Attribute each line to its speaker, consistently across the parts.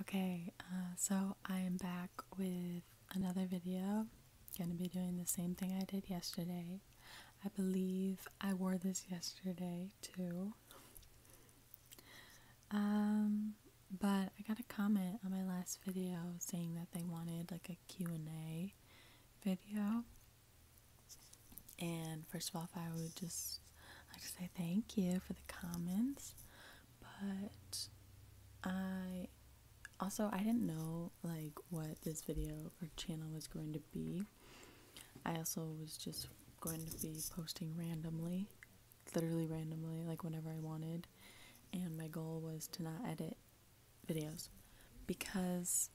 Speaker 1: Okay, uh, so I am back with another video. Gonna be doing the same thing I did yesterday. I believe I wore this yesterday too. Um, but I got a comment on my last video saying that they wanted like a Q&A video. And first of all, I would just like to say thank you for the comments, but I also I didn't know like what this video or channel was going to be. I also was just going to be posting randomly, literally randomly, like whenever I wanted. And my goal was to not edit videos because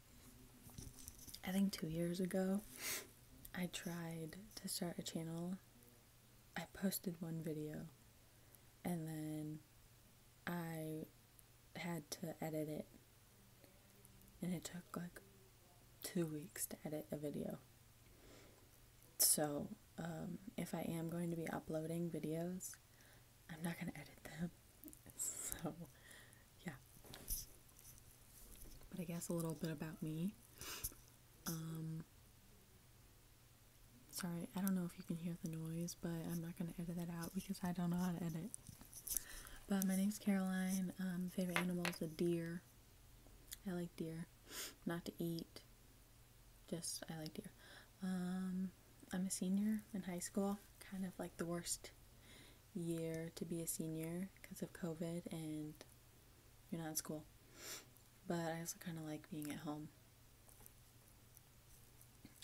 Speaker 1: I think 2 years ago I tried to start a channel. I posted one video and then I had to edit it. And it took like two weeks to edit a video. So, um, if I am going to be uploading videos, I'm not going to edit them. So, yeah. But I guess a little bit about me. Um, sorry, I don't know if you can hear the noise, but I'm not going to edit that out because I don't know how to edit. But my name's Caroline. Um, favorite animal is a deer. I like deer. Not to eat, just I like deer. Um, I'm a senior in high school, kind of like the worst year to be a senior because of COVID and you're not in school. But I also kind of like being at home.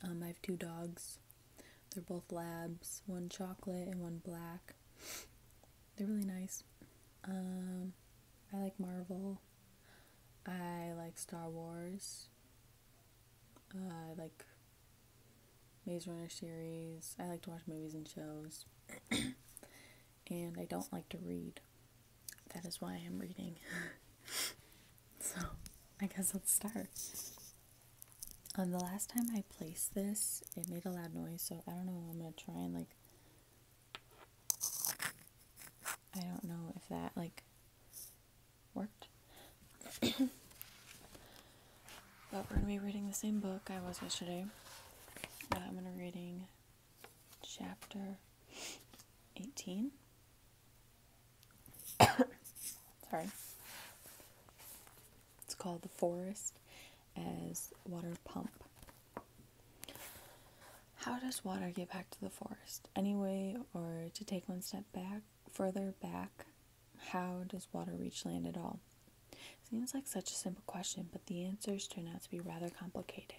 Speaker 1: Um, I have two dogs. They're both labs, one chocolate and one black. They're really nice. Um, I like Marvel. I like Star Wars. Uh, I like Maze Runner series. I like to watch movies and shows. and I don't like to read. That is why I'm reading. so, I guess let's start. On um, the last time I placed this, it made a loud noise, so I don't know. I'm gonna try and like. I don't know if that like worked. But we're going to be reading the same book I was yesterday. I'm going to be reading chapter 18. Sorry. It's called The Forest as Water Pump. How does water get back to the forest? anyway? or to take one step back, further back how does water reach land at all? Seems like such a simple question, but the answers turn out to be rather complicated.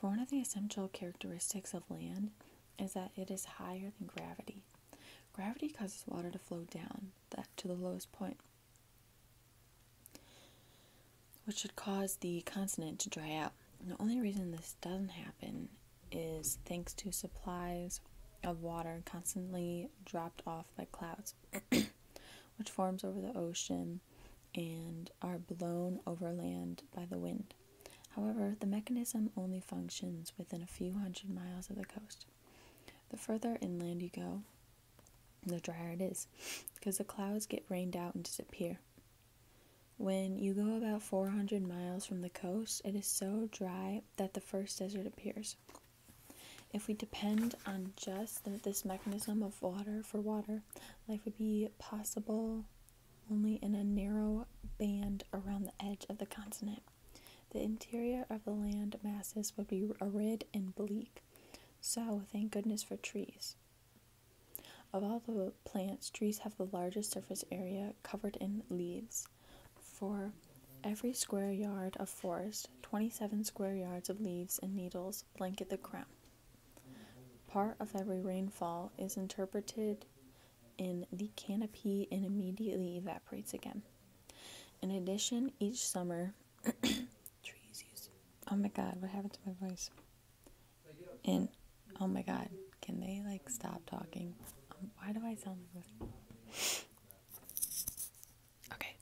Speaker 1: For one of the essential characteristics of land is that it is higher than gravity. Gravity causes water to flow down that to the lowest point, which should cause the continent to dry out. the only reason this doesn't happen is thanks to supplies of water constantly dropped off by clouds. which forms over the ocean and are blown overland by the wind. However, the mechanism only functions within a few hundred miles of the coast. The further inland you go, the drier it is, because the clouds get rained out and disappear. When you go about 400 miles from the coast, it is so dry that the first desert appears. If we depend on just this mechanism of water for water, life would be possible only in a narrow band around the edge of the continent. The interior of the land masses would be arid and bleak, so thank goodness for trees. Of all the plants, trees have the largest surface area covered in leaves. For every square yard of forest, 27 square yards of leaves and needles blanket the crown. Part of every rainfall is interpreted in the canopy and immediately evaporates again. In addition, each summer, trees use. Oh my god, what happened to my voice? And oh my god, can they like stop talking? Um, why do I sound like this? Okay,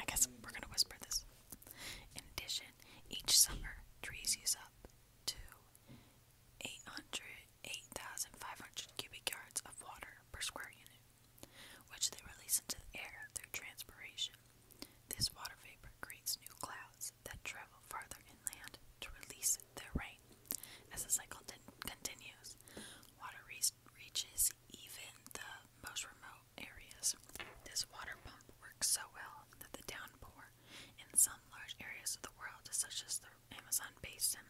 Speaker 1: I guess we're gonna whisper this. In addition, each summer, trees use up to 8,500 cubic yards of water per square unit, which they release into the air through transpiration. This water vapor creates new clouds that travel farther inland to release their rain. As the cycle continues, water reaches even the most remote areas. This water pump works so well that the downpour in some large areas of the world, such as the Amazon basin,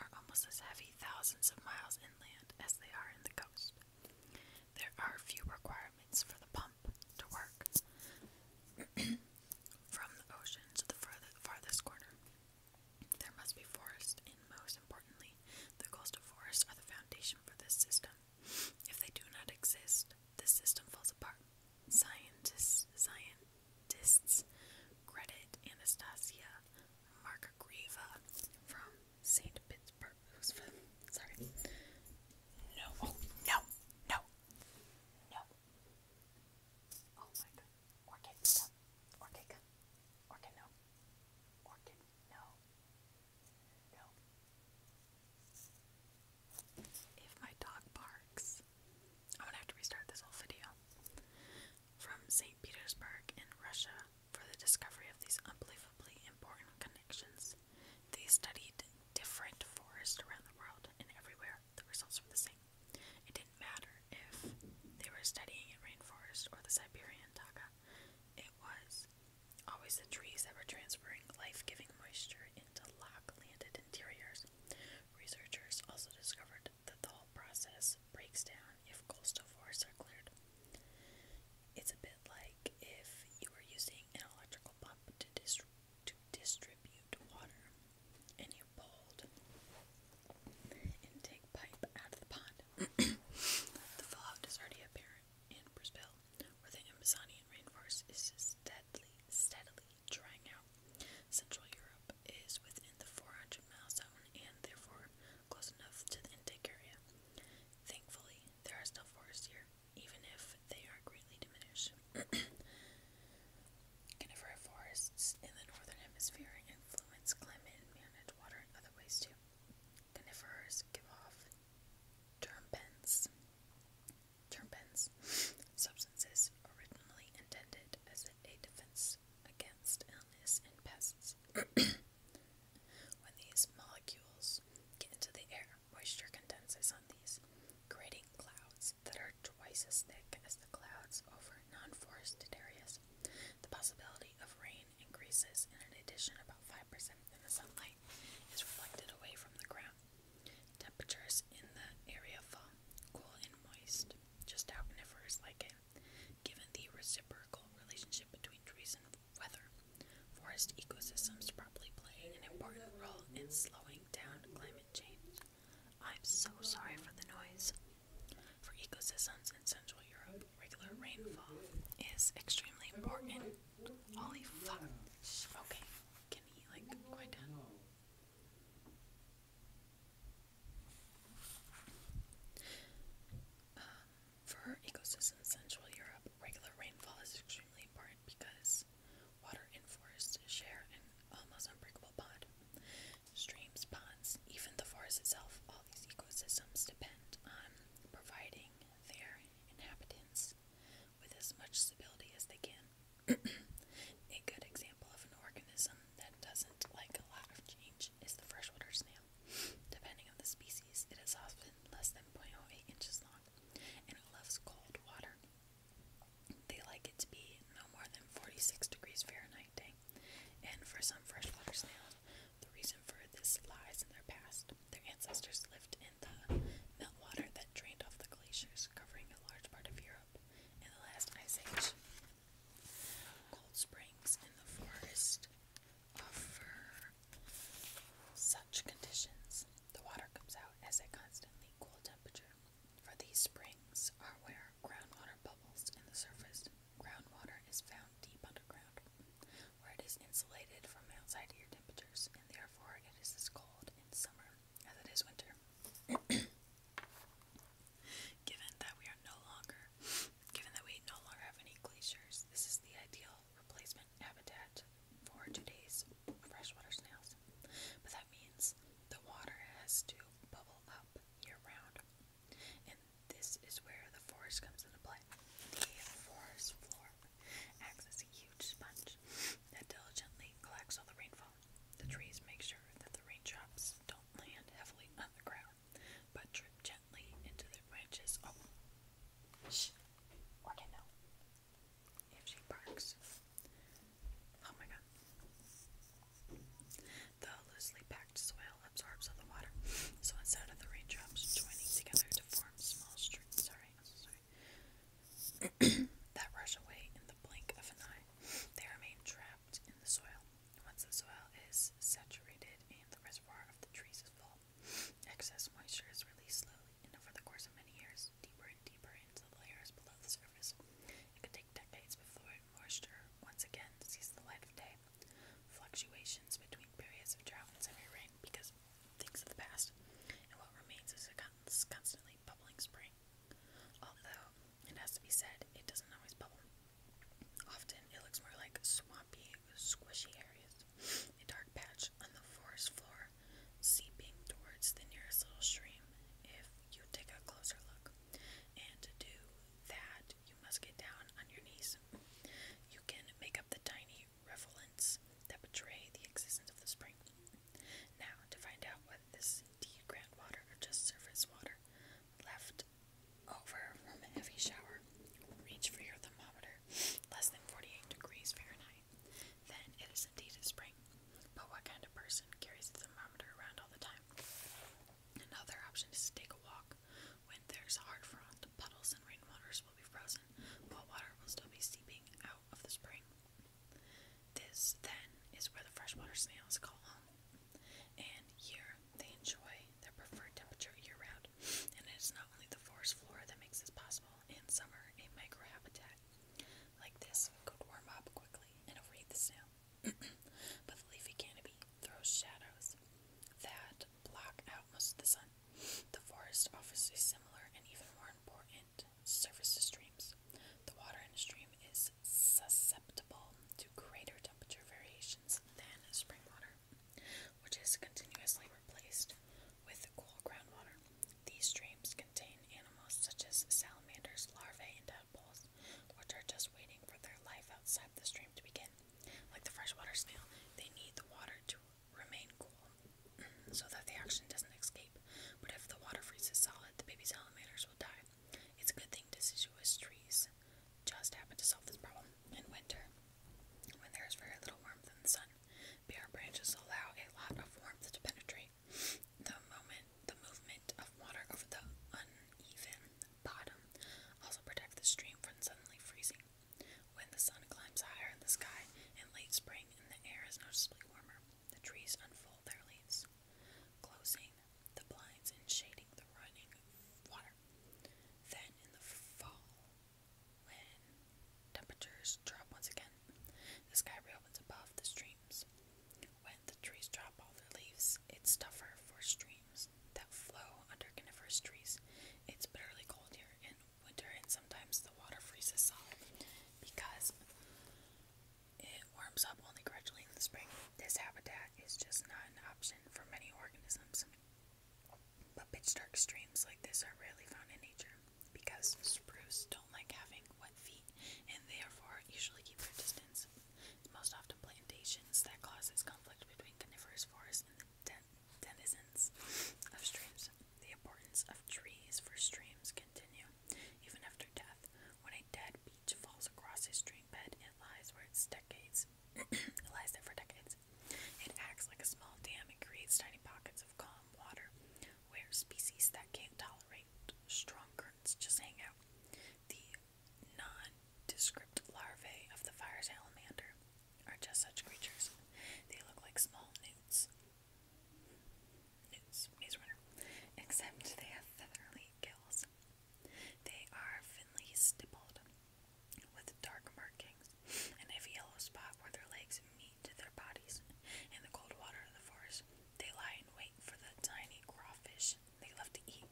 Speaker 1: are almost as heavy thousands of miles inland as they are in the coast. There are few requirements for the pump to work from the ocean to the farthest corner. There must be forests, and most importantly, the coastal forests are the foundation for this system. If they do not exist, this system falls apart. Scientists, scientists credit Anastasia Markgreva from St. Pittsburgh. Sorry. No. Oh, no. No. No. Oh my god. Orchid, no. Orchid, Orchid, no. Orchid, no. No. If my dog barks, I'm gonna have to restart this whole video. From St. Petersburg in Russia for the discovery of these unbelievably important connections. They studied different forests around the world and everywhere. The results were the same. It didn't matter if they were studying in rainforest or the Siberian taiga. It was always the trees that were transferring life-giving moisture into lock-landed interiors. Researchers also discovered that the whole process breaks down if coastal forests are cleared. It's a bit like if you were using an electrical pump to, distri to distribute water and you pulled intake pipe out of the pond. the fallout is already apparent in Brisbane, where the Amazonian rainforest is steadily, steadily drying out. Central Europe is within the 400 mile zone and therefore close enough to the intake area. Thankfully, there are still forests here, even if they are greatly diminished. Conifer forests in the northern hemisphere influence climate and manage water in other ways too. Conifers give off terpenes, terpenes, substances originally intended as a defense against illness and pests. when these molecules get into the air, moisture condenses on these, creating clouds that are twice as thick as the clouds over non forested areas. The possibility of rain increases, and in addition, about 5% of the sunlight is reflected away from the ground. Temperatures in the area fall cool and moist, just how conifers like it, given the reciprocal relationship between trees and weather. Forest ecosystems probably play an important role in slowing down climate change. I'm so sorry for the noise. For ecosystems in Central Europe, regular rainfall is extremely important. Holy fuck. Okay, um, for ecosystems in Central Europe, regular rainfall is extremely important because water and forests share an almost unbreakable bond. Streams, ponds, even the forest itself, all these ecosystems depend on providing their inhabitants with as much stability as they can. a good example of an organism that doesn't like a lot of change is the freshwater snail. Depending on the species, it is often less than point zero eight inches long and it loves cold water. They like it to be no more than 46 degrees Fahrenheit day. And for some freshwater snails, the reason for this lies in their past. Their ancestors lived in the meltwater that drained off the glaciers, covering a large part of Europe in the last ice age. Cold springs in the forest offer such conditions. The water comes out as a constantly cool temperature. For these springs are where groundwater bubbles in the surface. Groundwater is found deep underground, where it is insulated from outside air temperatures, and therefore it is as cold in summer as it is winter. given that we are no longer, given that we no longer have any glaciers, this is the ideal replacement habitat for today's freshwater snails. But that means the water has to bubble up year round. And this is where the forest comes into play. The forest floor acts as a huge sponge that diligently collects all the rainfall. The trees make sure that the raindrops don't land heavily on the ground, but drip gently into the branches. Oh, shh, okay, no. If she barks, Oh my god. The loosely packed soil absorbs all the water, so instead of the raindrops joining together to form small streams, sorry, sorry, that rush away in the blink of an eye, they remain trapped in the soil. Once the soil is saturated and the reservoir of the trees is full, excess moisture is released slowly over the course of many years and deeper into the layers below the surface. It could take decades before moisture once again sees the light of day. Fluctuations between periods of drought and heavy rain because things of the past, and what remains is a constantly bubbling spring. Although, it has to be said, it doesn't always bubble. Often, it looks more like swampy, squishy areas, a dark patch on the forest floor, seeping towards the nearest little stream, if you take a closer look. And to do that, you must get down on your knees. You can make up the tiny revolents that betray the existence of the spring. Now, to find out whether this is indeed groundwater or just surface water left over from a heavy shower, reach for your thermometer, less than 48 degrees Fahrenheit, then it is indeed a spring. But what kind of person carries a thermometer around all the time? Another option is to take a walk. When there's hard frost, puddles and rainwaters will be frozen, but water will still be seeping out of the spring. This, then, is where the freshwater snails call home. And here they enjoy their preferred temperature year round. And it is not only the forest floor that makes this possible, in summer, a microhabitat like this could warm up quickly and overheat the snail. but the leafy canopy throws shadows that block out most of the sun. The forest offers a similar and even more important surface to streams. The water in a stream is susceptible to greater temperature variations than spring water, which is continuously replaced with cool groundwater. These streams contain animals such as salamanders, larvae, and tadpoles, which are just waiting for their life outside the stream to begin. Like the freshwater snail, they need the water to remain cool so that the oxygen doesn't escape. But if the water freezes solid, the baby salamanders will die. It's a good thing deciduous trees just happen to solve this problem. In winter, when there is very little warmth in the sun, bare branches allow a lot of warmth to penetrate the moment the movement of water over the uneven bottom also protect the stream from suddenly freezing. When the sun climbs higher in the sky in late spring and the air is noticeably warmer, the trees unfold their leaves, closing the blinds and shading the running water. Then in the fall, when temperatures drop once again, the sky reopens above the streams, when the trees drop all their leaves, it's tougher for streams that flow under coniferous trees. It's bitterly cold here in winter, and sometimes the water freezes solid because it warms up only gradually in the spring. This habitat is just not an option for many organisms, but pitch dark streams like this are rarely found in nature because spruce don't like having wet feet and therefore usually keep their distance. Most often plantations that causes conflict between coniferous forests and the den denizens of streams. The importance of trees for streams continue even after death. When a dead beech falls across a stream bed, it lies where it's decades. it lies there for decades. It acts like a small dam and creates tiny pockets of calm water where species that can't tolerate light, strong curtains just hang out. The nondescript larvae of the fire salamander are just such creatures. They look like small newts. Newts, maze runner. Except they have feathery gills. They are finely stippled with dark markings and a yellow spot where their legs meet to their bodies. In the cold water of the forest, they lie in wait for the tiny crawfish they love to eat.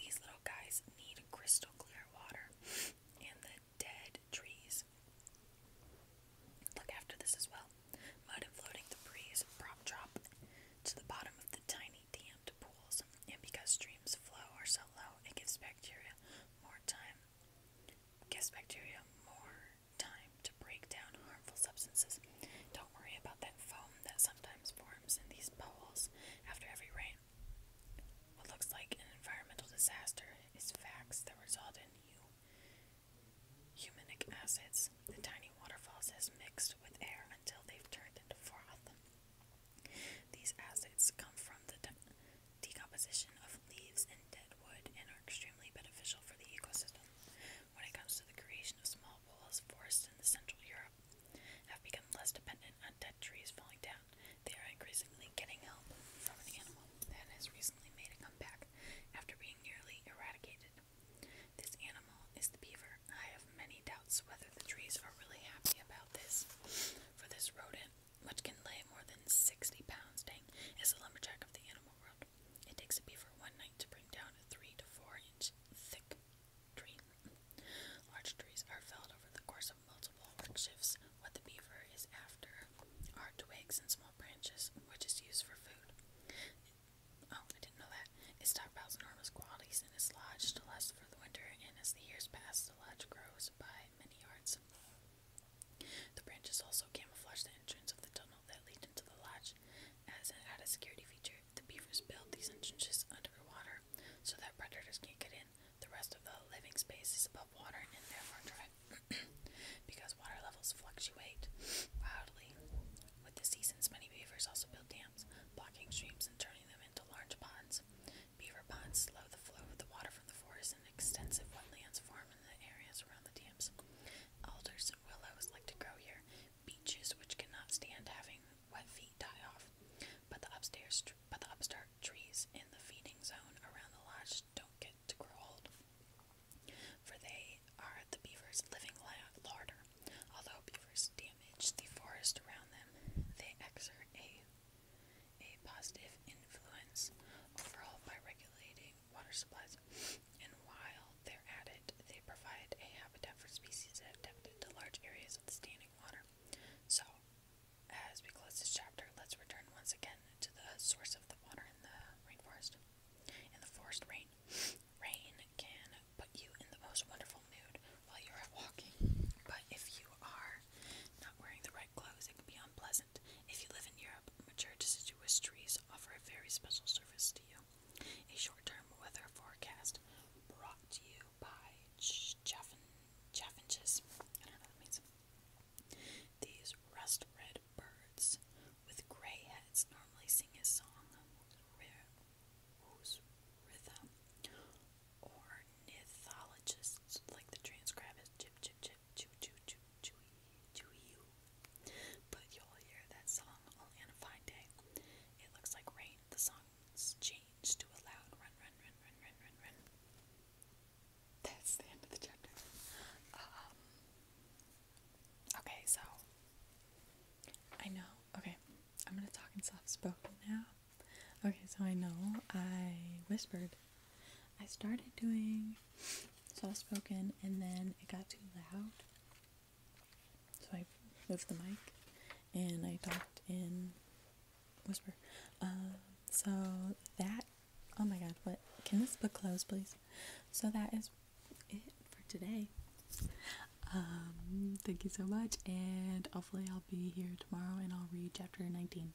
Speaker 1: These little guys need crystal clear water and the dead trees. Look after this as well. Mud floating debris prop drop to the bottom of the tiny dammed pools, and because streams flow are so low, it gives bacteria more time. Gives bacteria more time to break down harmful substances. Don't worry about that foam that sometimes forms in these pools after every rain. What looks like an environmental disaster is facts that result in you. Humanic acids. The tiny waterfalls has mixed with air until they've turned into froth. These acids come from the decomposition of leaves and dead wood and are extremely beneficial for the ecosystem when it comes to the creation of small walls forests in central Europe have become less dependent on dead trees falling down. They are increasingly getting help from an animal that has recently made a comeback after being nearly eradicated. This animal is the beaver. I have many doubts whether the trees are really happy about this. For this rodent, which can lay more than 60 pounds, dang, is a lumberjack of the animal world. It takes a beaver one night to bring down a three to four inch thick tree. Large trees are felled over the course of multiple work shifts. What the beaver is after are twigs and small branches, which is used for food. Oh, I didn't know that. It stockpiles enormous quantities in its lodge to last for the winter, and as the years pass, the lodge grows by many yards. The branches also camouflage the entrance of the tunnel that leads into the lodge. As an added security feature, the beavers build these entrances underwater so that predators can't get in. The rest of the living space is above water and therefore dry. because water levels fluctuate wildly. With the seasons, many beavers also build dams, blocking streams and turning them into large ponds. Beaver ponds slow the flow of the water from the forest and extensive wetlands form in the areas around the dams. Alders and willows like to grow here. Beeches, which cannot stand having wet feet, die off. But the upstairs, but the upstart trees in the feeding zone around the lodge don't get to grow old, for they are the beavers' living larder. Although beavers damage the forest around them, they exert a a positive influence overall by regulating water supplies. And while they're at it, they provide a habitat for species adapted to large areas of the standing water. So, as we close this chapter, let's return once again to the source of the water in the rainforest. In the forest rain. Rain can put you in the most wonderful mood while you're out walking. But if you are not wearing the right clothes, it can be unpleasant. If you live in Europe, mature deciduous trees offer a very special service to you. A short-term weather forecast brought to you by Chaffinches. I don't know what that means. These rust red birds with gray heads normally sing a song whose rhythm ornithologists like the transcribe as chip chip chip choo choo choo Chuiyu. But you'll hear that song only on a fine day. It looks like rain. The song's changed to a loud run, run, run, run, run, run, run. That's the end of the chapter. Um, okay, so I know. Okay, I'm gonna talk in soft spoken now. Okay, so I know I whispered I started doing soft spoken and then it got too loud. So I moved the mic and I talked in whisper. Uh, so that, oh my god, what? Can this book close, please? So that is it for today. Um, thank you so much, and hopefully, I'll be here tomorrow and I'll read chapter 19.